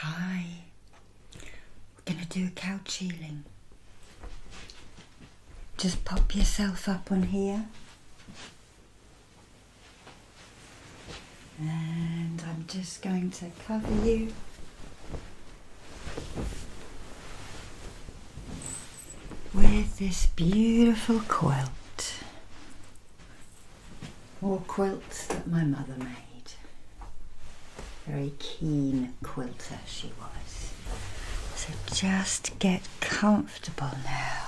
Hi, we're going to do couch healing. Just pop yourself up on here. And I'm just going to cover you. With this beautiful quilt, more quilts that my mother made. Very keen quilter she was. So just get comfortable now.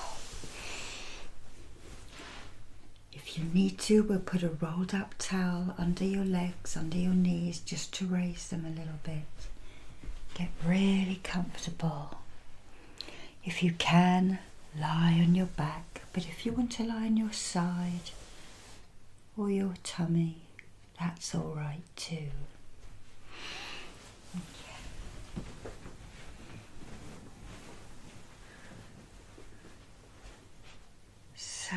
If you need to, we'll put a rolled up towel under your legs, under your knees, just to raise them a little bit. Get really comfortable. If you can, lie on your back, but if you want to lie on your side or your tummy, that's all right too. So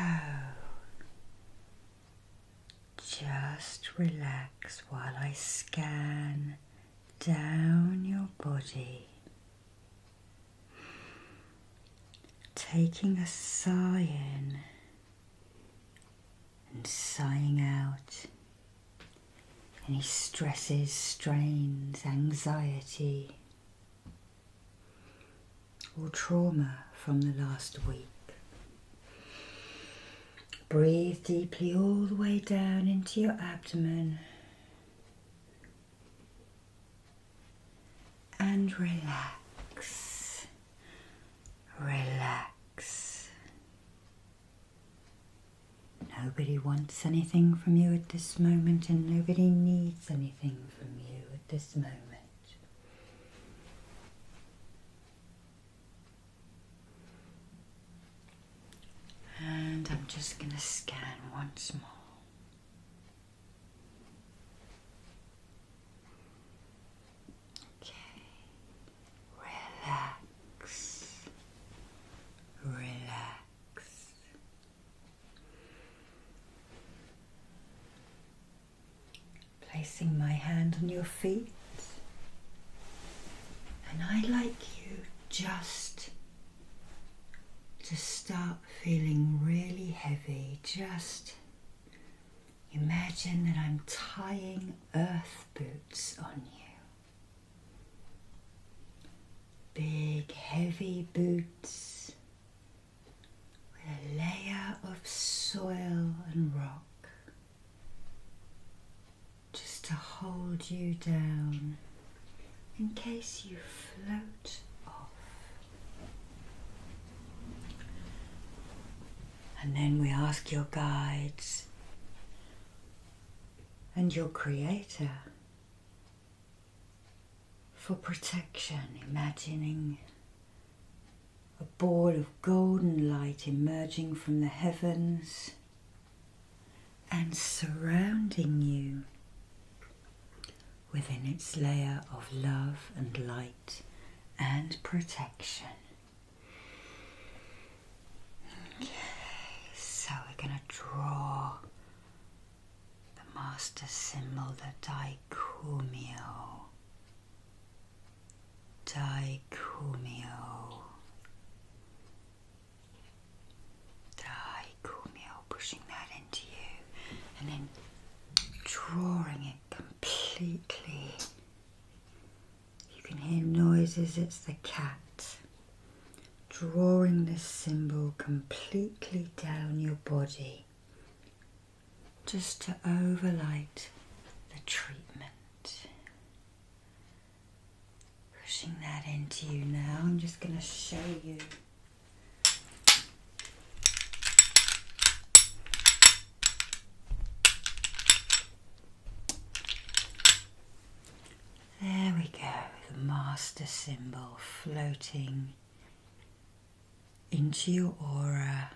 just relax while I scan down your body. Taking a sigh in and sighing out any stresses, strains, anxiety, or trauma from the last week. Breathe deeply all the way down into your abdomen and relax, relax. Nobody wants anything from you at this moment, and nobody needs anything from you at this moment. And I'm just going to scan once more. Okay, relax, relax. Placing my hand on your feet, and I like you just to start feeling really heavy. Just imagine that I'm tying earth boots on you. Big heavy boots with a layer of soil and rock just to hold you down in case you float off. And then we ask your guides and your Creator for protection, imagining a ball of golden light emerging from the heavens and surrounding you within its layer of love and light and protection. Okay, so we're going to draw the master symbol, the Daikumio. Daikumio dry, cool pushing that into you, and then drawing it completely. You can hear noises, it's the cat drawing this symbol completely down your body just to overlight the treatment. Pushing that into you now, I'm just going to show you there we go, the master symbol floating into your aura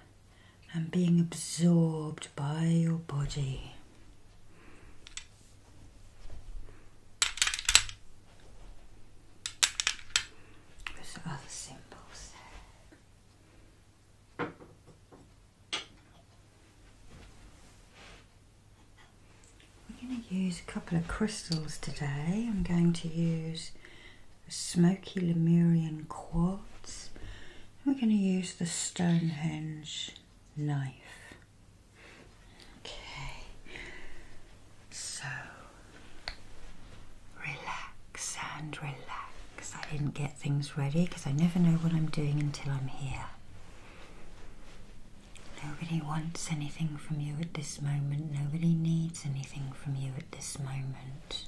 and being absorbed by your body. There's other symbols We're going to use a couple of crystals today. I'm going to use a smoky Lemurian quartz. We're going to use the Stonehenge knife. Okay. So relax and relax. I didn't get things ready because I never know what I'm doing until I'm here. Nobody wants anything from you at this moment. Nobody needs anything from you at this moment.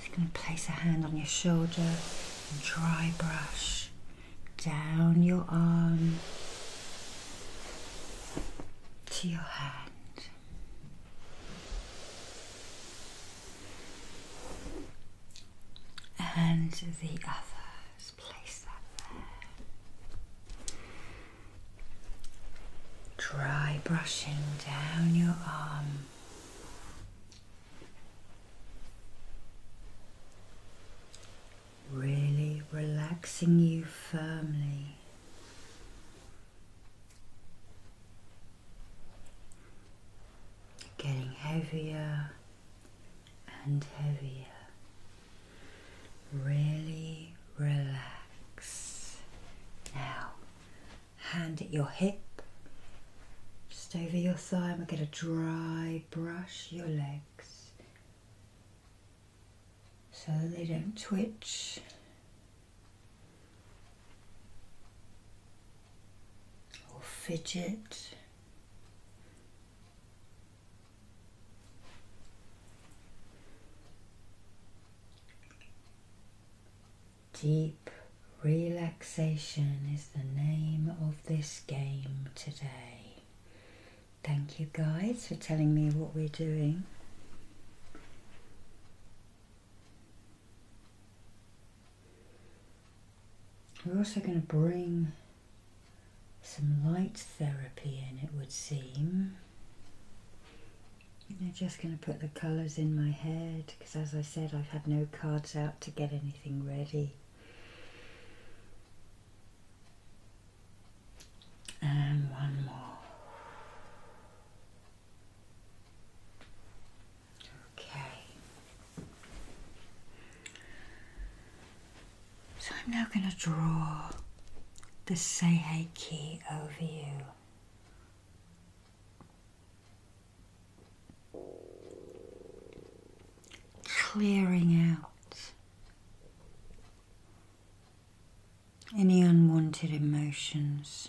Just going to place a hand on your shoulder and dry brush down your arm to your hand. And the other, place that there. Dry brushing down your arm really relaxing you firmly. Getting heavier and heavier. Really relax. Now, hand at your hip, just over your thigh, we're going to dry brush your legs so they don't twitch. or Fidget. Deep relaxation is the name of this game today. Thank you guys for telling me what we're doing. We're also going to bring some light therapy in, it would seem. I'm just going to put the colours in my head because, as I said, I've had no cards out to get anything ready and one more. Okay. So I'm now going to draw the Seihei key over you. Clearing out any unwanted emotions,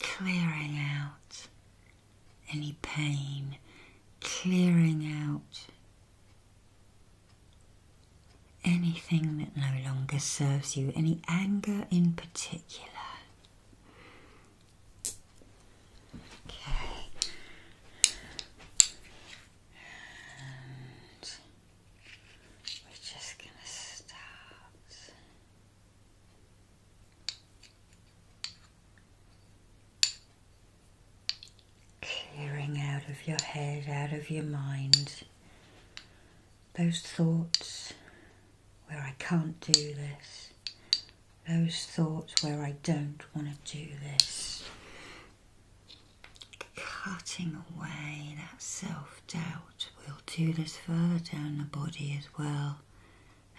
clearing out any pain, clearing out anything that no longer serves you, any anger in particular. Okay. We're just going to start. Clearing out of your head, out of your mind, those thoughts where I can't do this, those thoughts where I don't want to do this, cutting away that self doubt. We'll do this further down the body as well.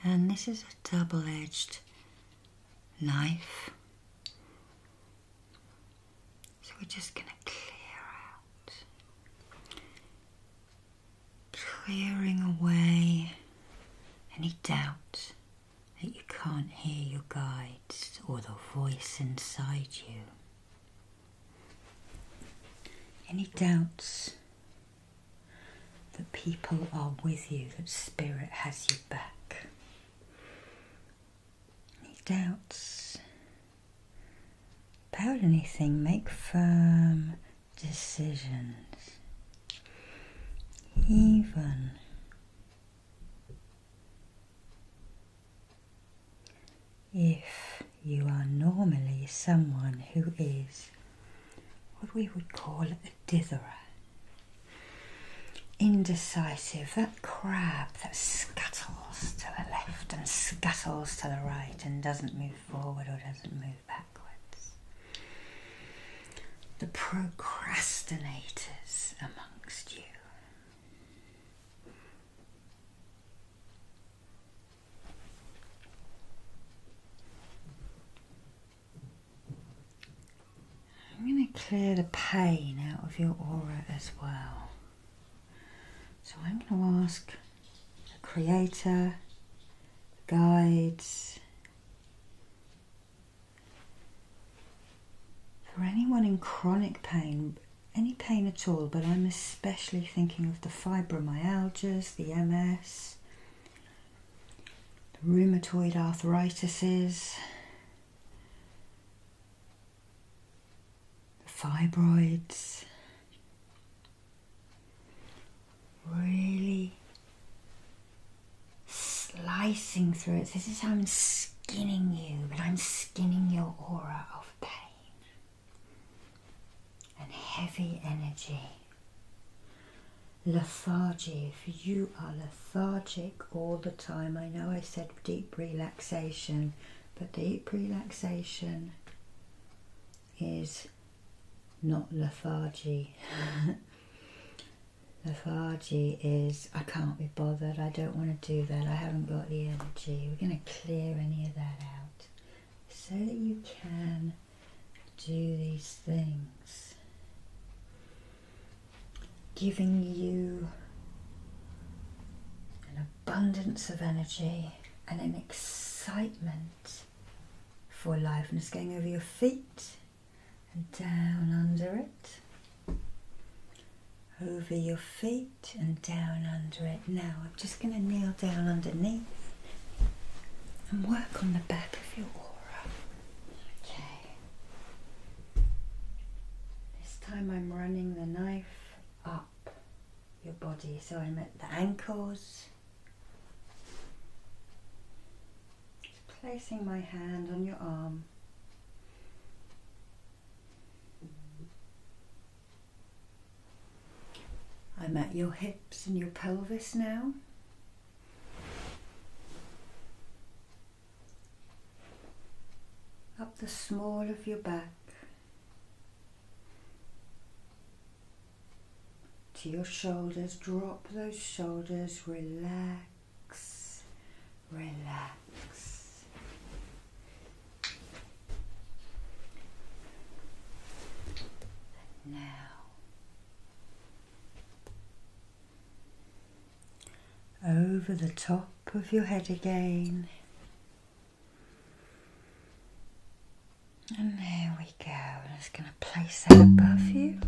And this is a double edged knife. So we're just going to clear out. Clearing away any doubt that you can't hear your guy or the voice inside you. Any doubts that people are with you, that Spirit has you back? Any doubts about anything? Make firm decisions. Even if you are normally someone who is what we would call a ditherer, indecisive, that crab that scuttles to the left and scuttles to the right and doesn't move forward or doesn't move backwards, the procrastinators amongst you. I'm going to clear the pain out of your aura as well. So I'm going to ask the creator, the guides, for anyone in chronic pain, any pain at all, but I'm especially thinking of the fibromyalgias, the MS, the rheumatoid arthritises, the fibroids. Really slicing through it. This is how I'm skinning you, but I'm skinning your aura of pain and heavy energy. Lethargy, if you are lethargic all the time, I know I said deep relaxation, but deep relaxation is not lethargy. lethargy is I can't be bothered, I don't want to do that, I haven't got the energy. We're going to clear any of that out so that you can do these things. Giving you an abundance of energy and an excitement for life. And it's going over your feet and down under it over your feet and down under it. Now I'm just going to kneel down underneath and work on the back of your aura. Okay. This time I'm running the knife up your body, so I'm at the ankles. placing my hand on your arm. I'm at your hips and your pelvis now. Up the small of your back to your shoulders, drop those shoulders, relax, relax, now over the top of your head again. And there we go. just going to place that above you.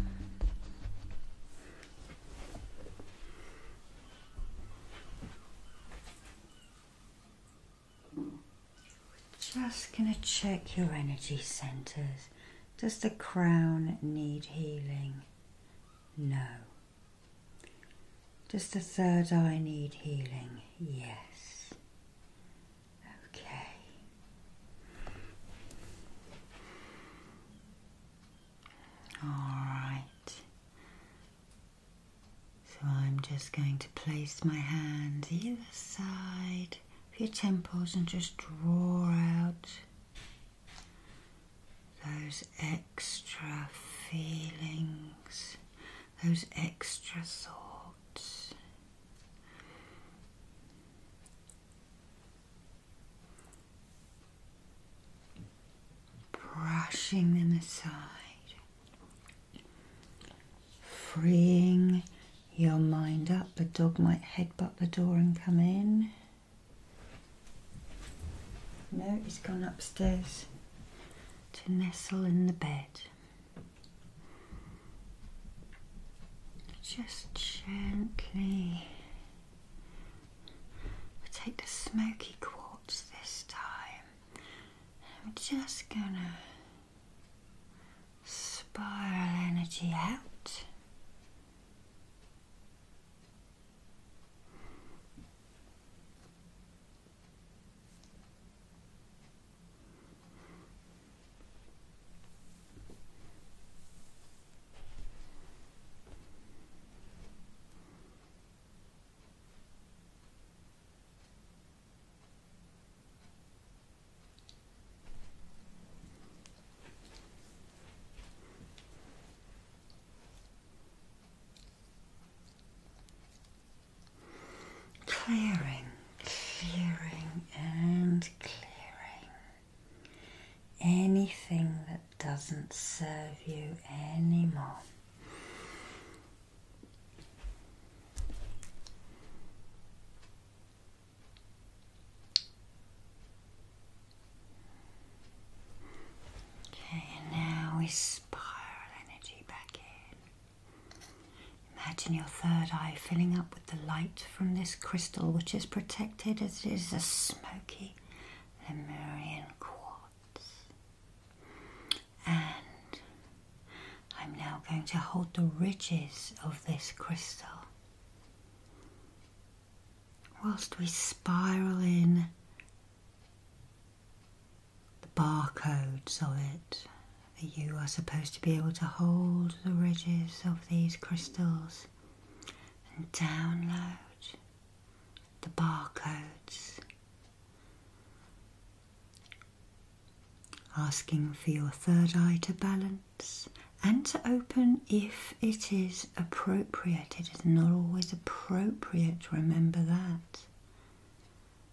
We're Just going to check your energy centers. Does the crown need healing? No. Does the third eye need healing? Yes. Okay. All right. So I'm just going to place my hands either side of your temples and just draw out those extra feelings, those extra thoughts brushing them aside, freeing your mind up. The dog might headbutt the door and come in. No, he's gone upstairs to nestle in the bed. Just gently I take the smoky quartz this time. I'm just gonna spiral energy out. Clearing, clearing, and clearing. Anything that doesn't serve you anymore. Okay, and now we spiral energy back in. Imagine your third eye filling up with the light from this crystal, which is protected as it is a smoky Lemurian quartz. And I'm now going to hold the ridges of this crystal whilst we spiral in the barcodes of it. You are supposed to be able to hold the ridges of these crystals and download the barcodes Asking for your third eye to balance and to open if it is appropriate. It is not always appropriate, remember that.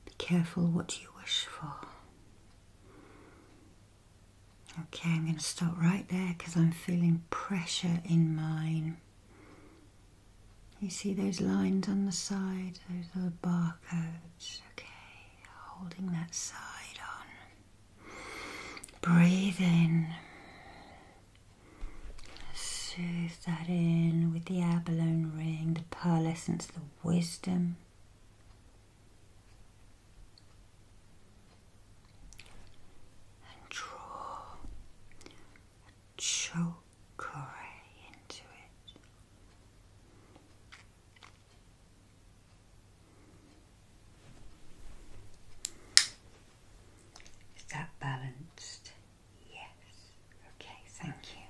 Be careful what you wish for. Okay, I'm going to stop right there because I'm feeling pressure in mine. You see those lines on the side, those little barcodes. Okay, holding that side on. Breathe in. Soothe that in with the abalone ring, the pearlescence, the wisdom. And draw choke away into it. Is that balanced? Yes. Okay, thank you.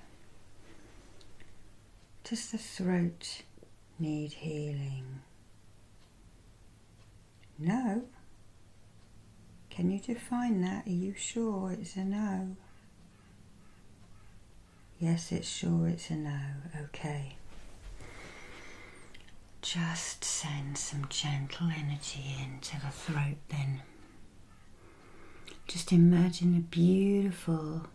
Does the throat need healing? No. Can you define that? Are you sure it's a no? Yes, it's sure it's a no. Okay. Just send some gentle energy into the throat then. Just imagine a beautiful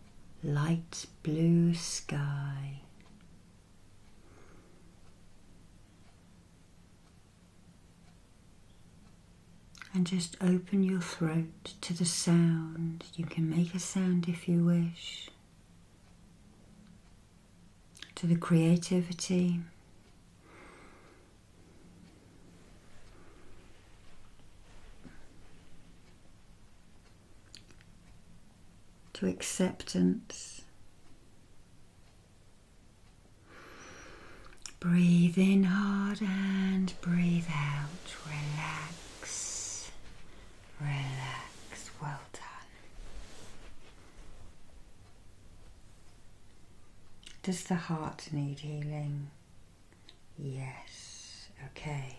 light blue sky. And just open your throat to the sound. You can make a sound if you wish, to the creativity. To acceptance, Breathe in hard and breathe out. Relax. Relax. Well done. Does the heart need healing? Yes. Okay.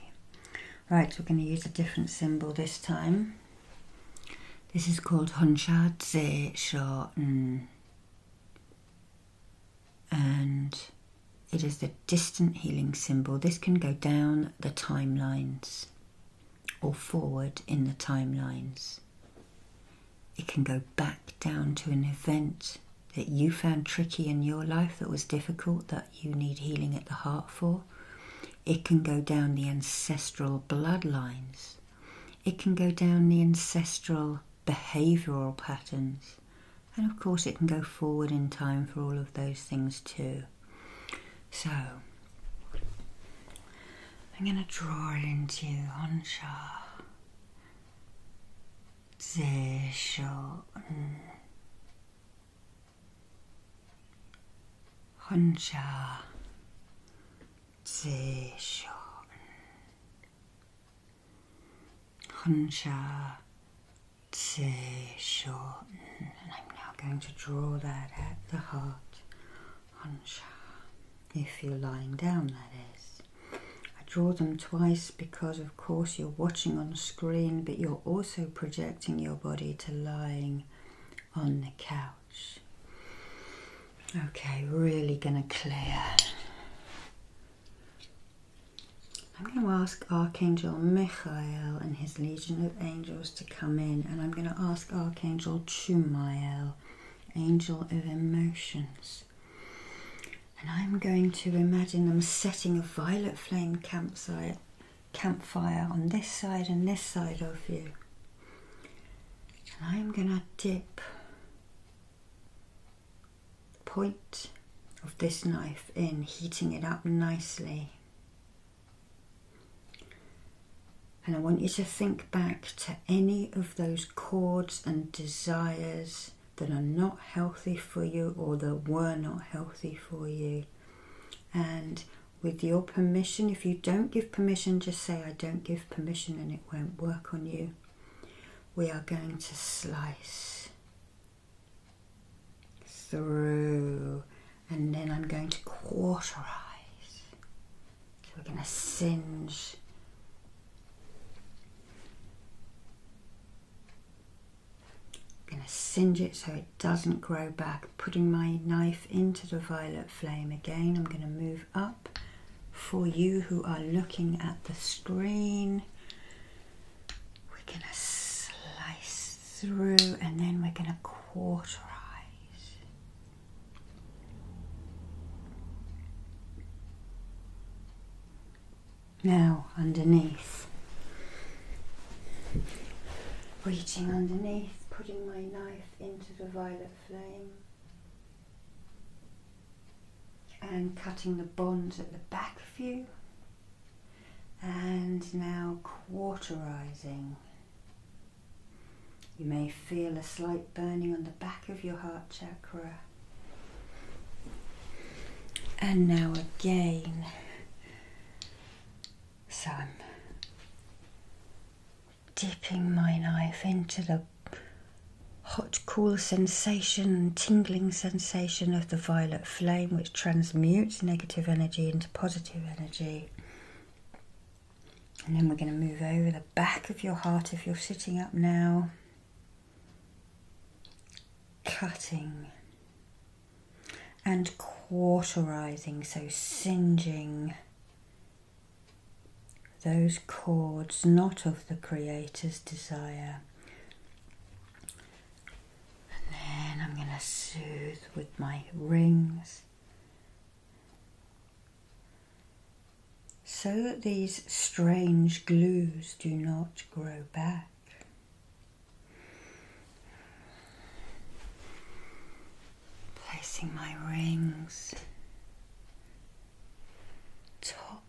Right, we're going to use a different symbol this time. This is called Hunsha Tse Sha and it is the distant healing symbol. This can go down the timelines or forward in the timelines. It can go back down to an event that you found tricky in your life that was difficult, that you need healing at the heart for. It can go down the ancestral bloodlines. It can go down the ancestral behavioural patterns. And of course, it can go forward in time for all of those things too. So, I'm going to draw into Honsha. Zeshon. Honsha. Zeshon. Huncha Tse shorten. And I'm now going to draw that at the heart. Huncha. If you're lying down, that is. I draw them twice because, of course, you're watching on screen, but you're also projecting your body to lying on the couch. Okay, really going to clear I'm going to ask Archangel Michael and his legion of angels to come in, and I'm going to ask Archangel Chumael, angel of emotions. And I'm going to imagine them setting a violet flame campsite, campfire on this side and this side of you. And I'm going to dip point of this knife in, heating it up nicely. And I want you to think back to any of those chords and desires that are not healthy for you or that were not healthy for you. And with your permission, if you don't give permission, just say, I don't give permission, and it won't work on you we are going to slice through and then I'm going to quarterize. So we're going to singe I'm going to singe it so it doesn't grow back. Putting my knife into the violet flame again, I'm going to move up for you who are looking at the screen. We're going to slice through and then we're going to quarterize. Now, underneath. Reaching underneath, putting my knife into the violet flame and cutting the bonds at the back of you and now quarterizing you may feel a slight burning on the back of your heart chakra and now again so I'm dipping my knife into the hot, cool sensation, tingling sensation of the violet flame, which transmutes negative energy into positive energy. And then we're going to move over the back of your heart if you're sitting up now. Cutting and cauterizing, so singeing those chords not of the Creator's desire. And then I'm going to soothe with my rings so that these strange glues do not grow back. Placing my rings top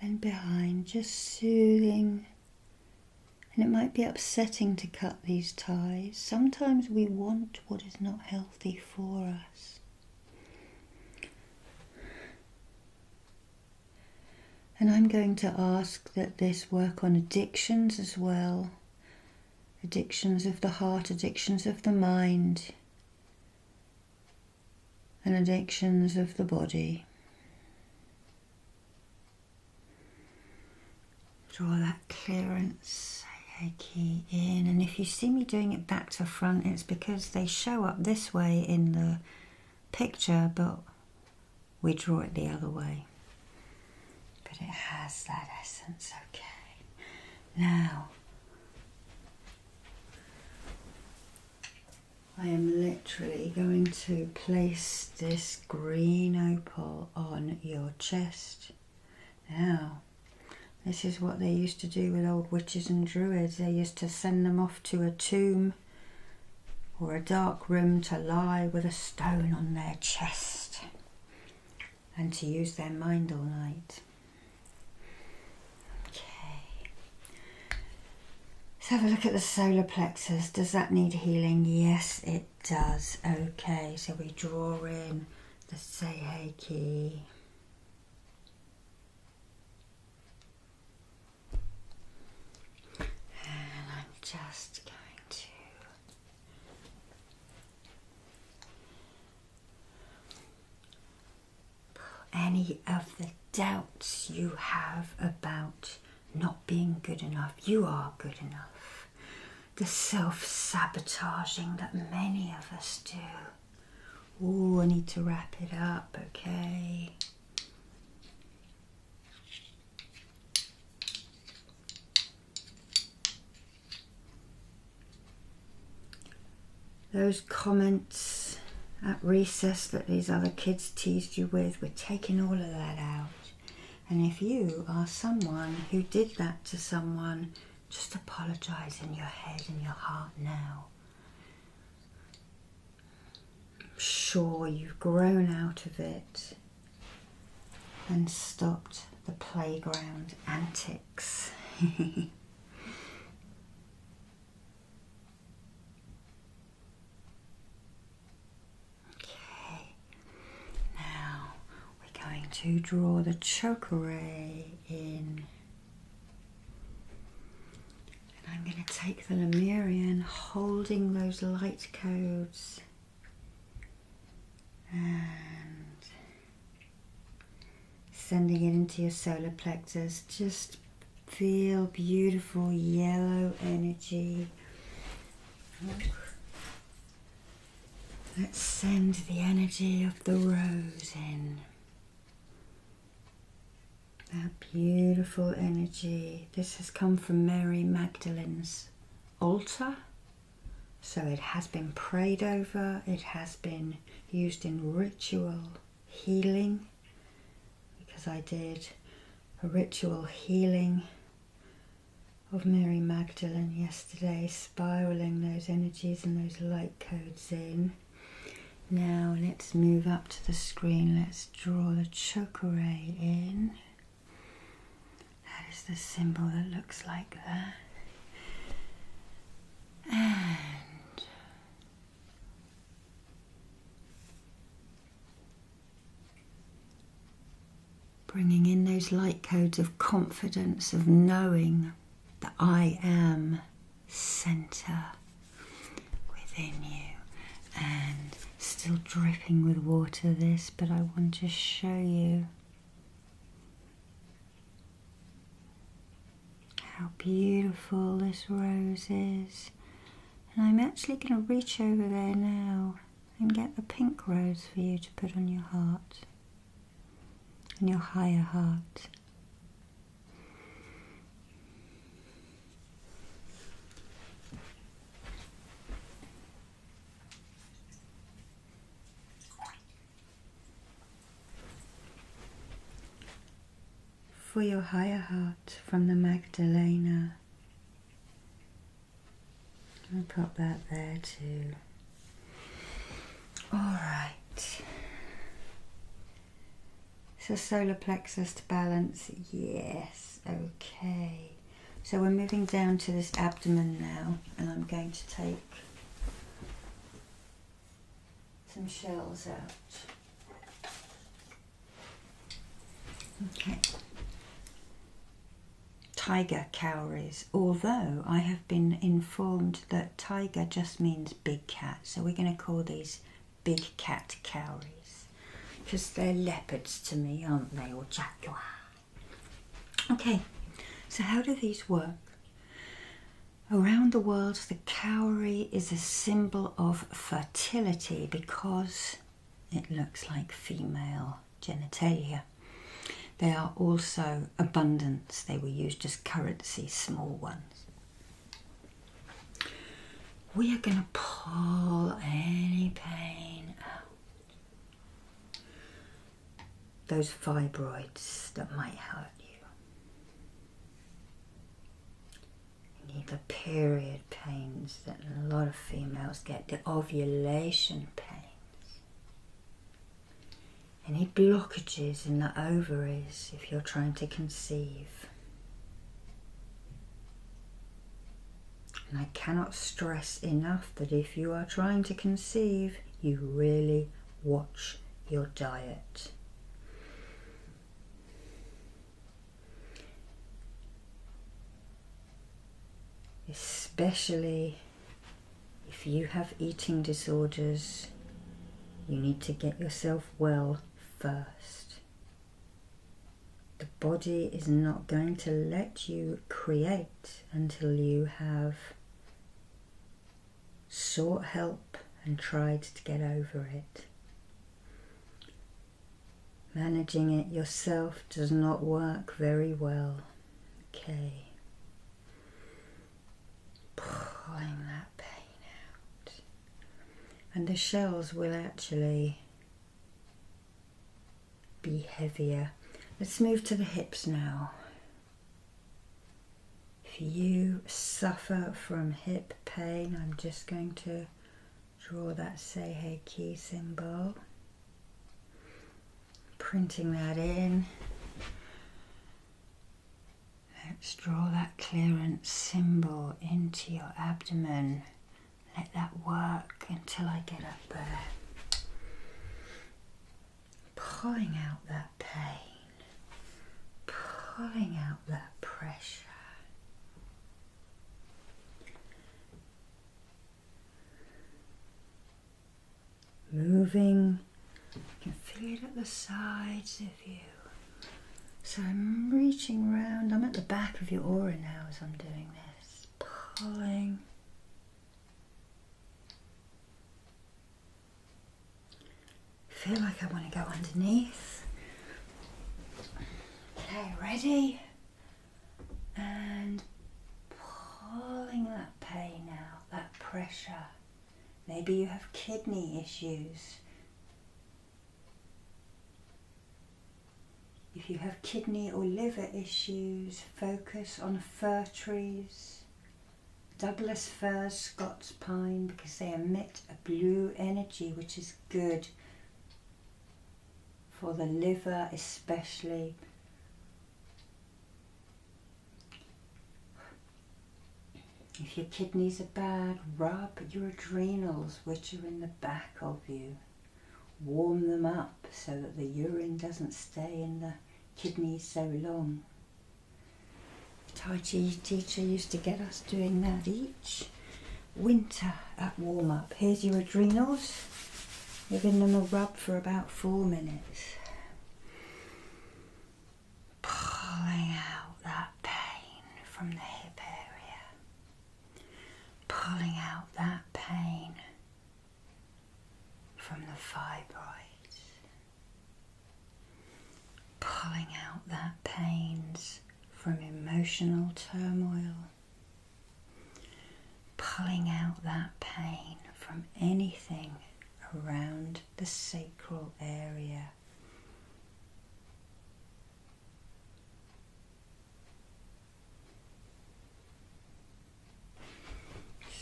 and behind, just soothing. And it might be upsetting to cut these ties. Sometimes we want what is not healthy for us. And I'm going to ask that this work on addictions as well addictions of the heart, addictions of the mind and addictions of the body. Draw that clearance Reiki in, and if you see me doing it back to front, it's because they show up this way in the picture, but we draw it the other way. But it has that essence, okay. Now, I am literally going to place this green opal on your chest. Now, this is what they used to do with old witches and druids. They used to send them off to a tomb or a dark room to lie with a stone on their chest and to use their mind all night. Okay. Let's have a look at the solar plexus. Does that need healing? Yes, it does. Okay, so we draw in the Seihei key. And I'm just going to any of the doubts you have about not being good enough. You are good enough. The self sabotaging that many of us do. Oh, I need to wrap it up, okay? Those comments at recess that these other kids teased you with, we're taking all of that out. And if you are someone who did that to someone, just apologize in your head and your heart now. I'm sure you've grown out of it and stopped the playground antics. Okay, now we're going to draw the chokeray in. And I'm going to take the Lemurian holding those light codes and sending it into your solar plexus. Just feel beautiful yellow energy. Let's send the energy of the rose in. That beautiful energy. This has come from Mary Magdalene's altar. So it has been prayed over, it has been used in ritual healing because I did a ritual healing of Mary Magdalene yesterday, spiraling those energies and those light codes in. Now let's move up to the screen. Let's draw the chakra in. That is the symbol that looks like that. And Bringing in those light codes of confidence, of knowing that I am center within you. And still dripping with water, this, but I want to show you how beautiful this rose is. And I'm actually going to reach over there now and get the pink rose for you to put on your heart, and your higher heart for your higher heart from the Magdalena. I'll pop that there too. Alright. So solar plexus to balance, yes, okay. So we're moving down to this abdomen now and I'm going to take some shells out. Okay. Tiger cowries, although I have been informed that tiger just means big cat, so we're going to call these big cat cowries because they're leopards to me, aren't they, or jaguar. Okay, so how do these work? Around the world, the cowrie is a symbol of fertility because it looks like female genitalia. They are also abundance. they were used as currency, small ones. We are going to pull any pain out. Those fibroids that might hurt you the period pains that a lot of females get, the ovulation pains, any blockages in the ovaries if you're trying to conceive. And I cannot stress enough that if you are trying to conceive, you really watch your diet. Especially if you have eating disorders, you need to get yourself well first. The body is not going to let you create until you have sought help and tried to get over it. Managing it yourself does not work very well. Okay. Pulling that pain out. And the shells will actually be heavier. Let's move to the hips now. If you suffer from hip pain, I'm just going to draw that Seihei Ki symbol. Printing that in. Let's draw that clearance symbol into your abdomen. Let that work until I get up there. Pulling out that pain pulling out that pressure. Moving, you can feel it at the sides of you. So I'm reaching round, I'm at the back of your aura now as I'm doing this, pulling. I feel like I want to go underneath. Okay, ready? And pulling that pain out, that pressure. Maybe you have kidney issues. If you have kidney or liver issues, focus on fir trees. Douglas firs, Scots pine, because they emit a blue energy which is good for the liver especially. If your kidneys are bad, rub your adrenals, which are in the back of you. Warm them up so that the urine doesn't stay in the kidneys so long. Tai Chi teacher used to get us doing that each winter at warm up. Here's your adrenals. You're giving them a rub for about four minutes. Pulling out that pain from the hip area. Pulling out that pain from the fibroids pulling out that pain from emotional turmoil, pulling out that pain from anything around the sacral area.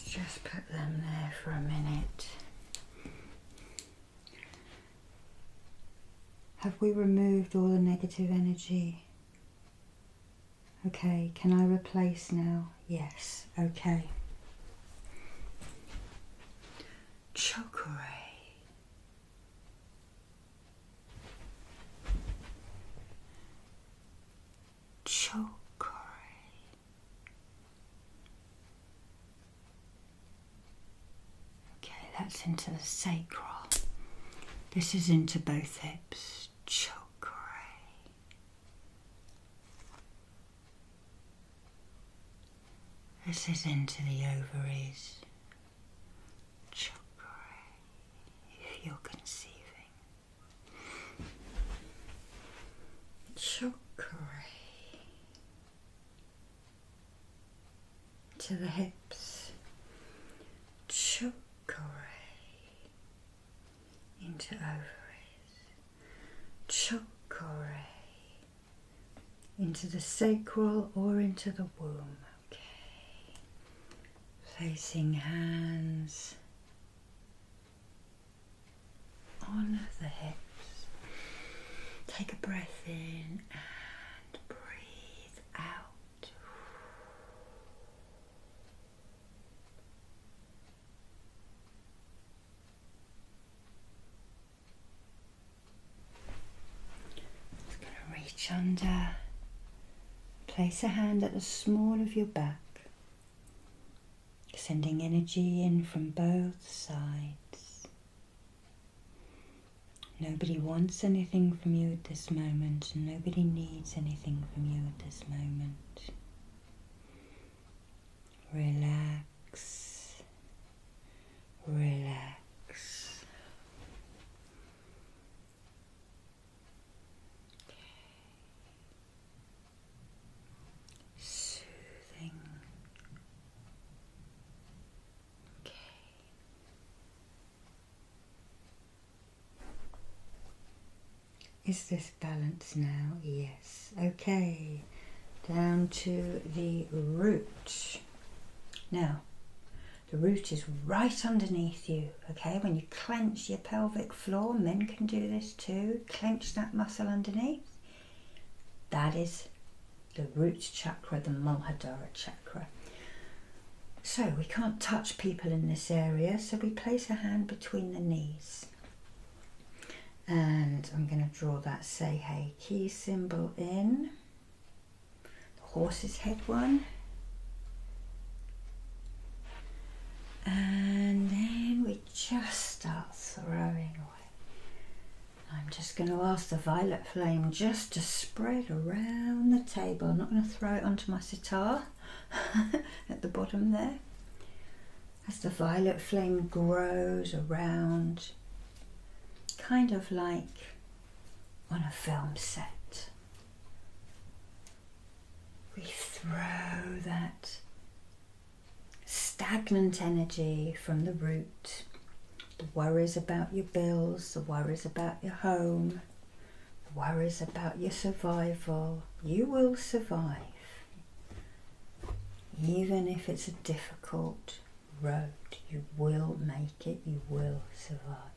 just put them there for a minute. Have we removed all the negative energy? Okay, can I replace now? Yes, okay. Chokore. Chokore. Okay, that's into the sacral. This is into both hips. Chakra. This is into the ovaries. Chakra. If you're conceiving. Chakra to the hips, choke into ovaries, choke into the sacral or into the womb. Okay, placing hands on the hips. Take a breath in breathe out. Just going to reach under, place a hand at the small of your back, sending energy in from both sides. Nobody wants anything from you at this moment, nobody needs anything from you at this moment. Relax, relax. Okay. Soothing. Is this balance now? Yes. Okay. Down to the root. Now, the root is right underneath you. Okay. When you clench your pelvic floor, men can do this too. Clench that muscle underneath. That is the root chakra, the Muladhara chakra. So we can't touch people in this area, so we place a hand between the knees. And I'm going to draw that Seihei key symbol in, the horse's head one. And then we just start throwing away. I'm just going to ask the violet flame just to spread around the table. I'm not going to throw it onto my sitar at the bottom there. As the violet flame grows around, kind of like on a film set, we throw that stagnant energy from the root the worries about your bills, the worries about your home, the worries about your survival. You will survive, even if it's a difficult road. You will make it, you will survive.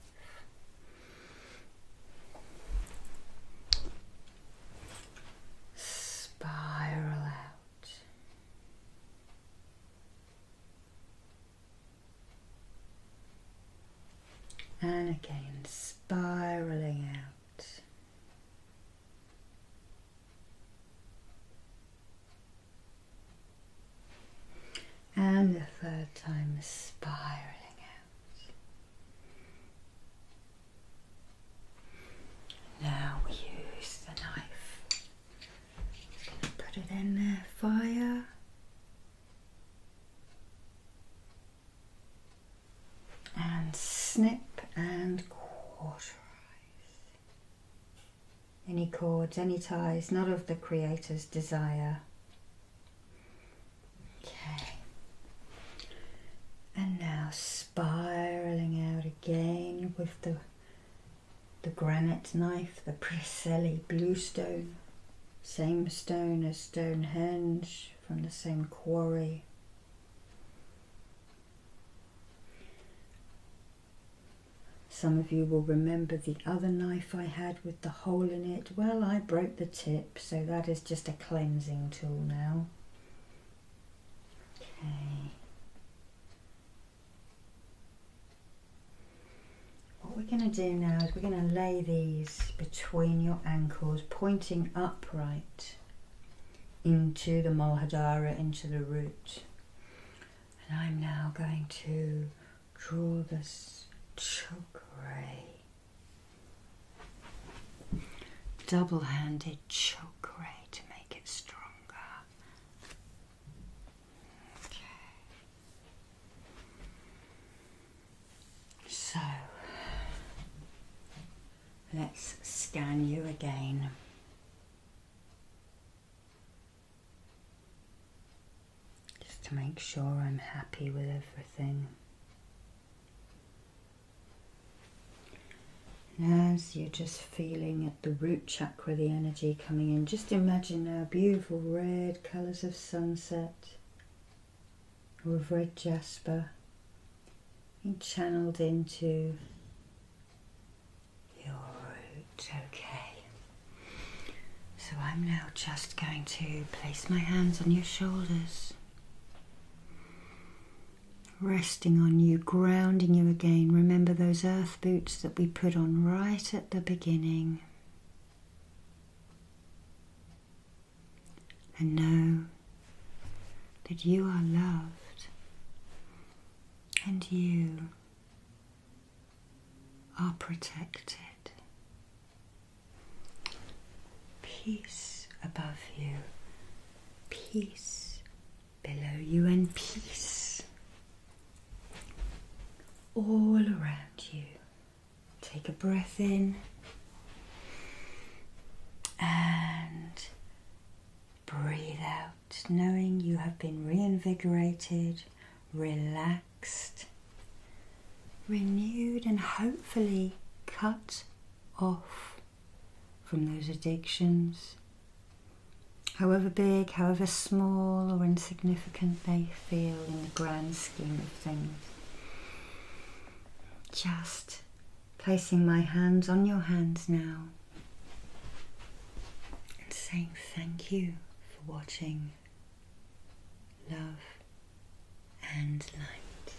Spiral out and again spiraling out. And the third time, spiraling out. Now use the knife Put it in there, fire. And snip and quarterize. Any cords, any ties, not of the Creator's desire. Okay. And now spiraling out again with the the granite knife, the Preseli bluestone, same stone as Stonehenge from the same quarry. Some of you will remember the other knife I had with the hole in it. Well, I broke the tip, so that is just a cleansing tool now. Okay. What we're going to do now is we're going to lay these between your ankles, pointing upright into the Molhadara, into the root. And I'm now going to draw this chakra, double-handed chakra to make it stronger. Okay. So let's scan you again. Just to make sure I'm happy with everything. as you're just feeling it the root chakra, the energy coming in. Just imagine now beautiful red colours of sunset or red jasper being channeled into your root. Okay. So I'm now just going to place my hands on your shoulders. Resting on you, grounding you again. Remember those earth boots that we put on right at the beginning and know that you are loved and you are protected. Peace above you, peace below you, and peace all around you. Take a breath in and breathe out, knowing you have been reinvigorated, relaxed, renewed, and hopefully cut off from those addictions, however big, however small or insignificant they feel in the grand scheme of things. Just placing my hands on your hands now and saying thank you for watching Love and Light.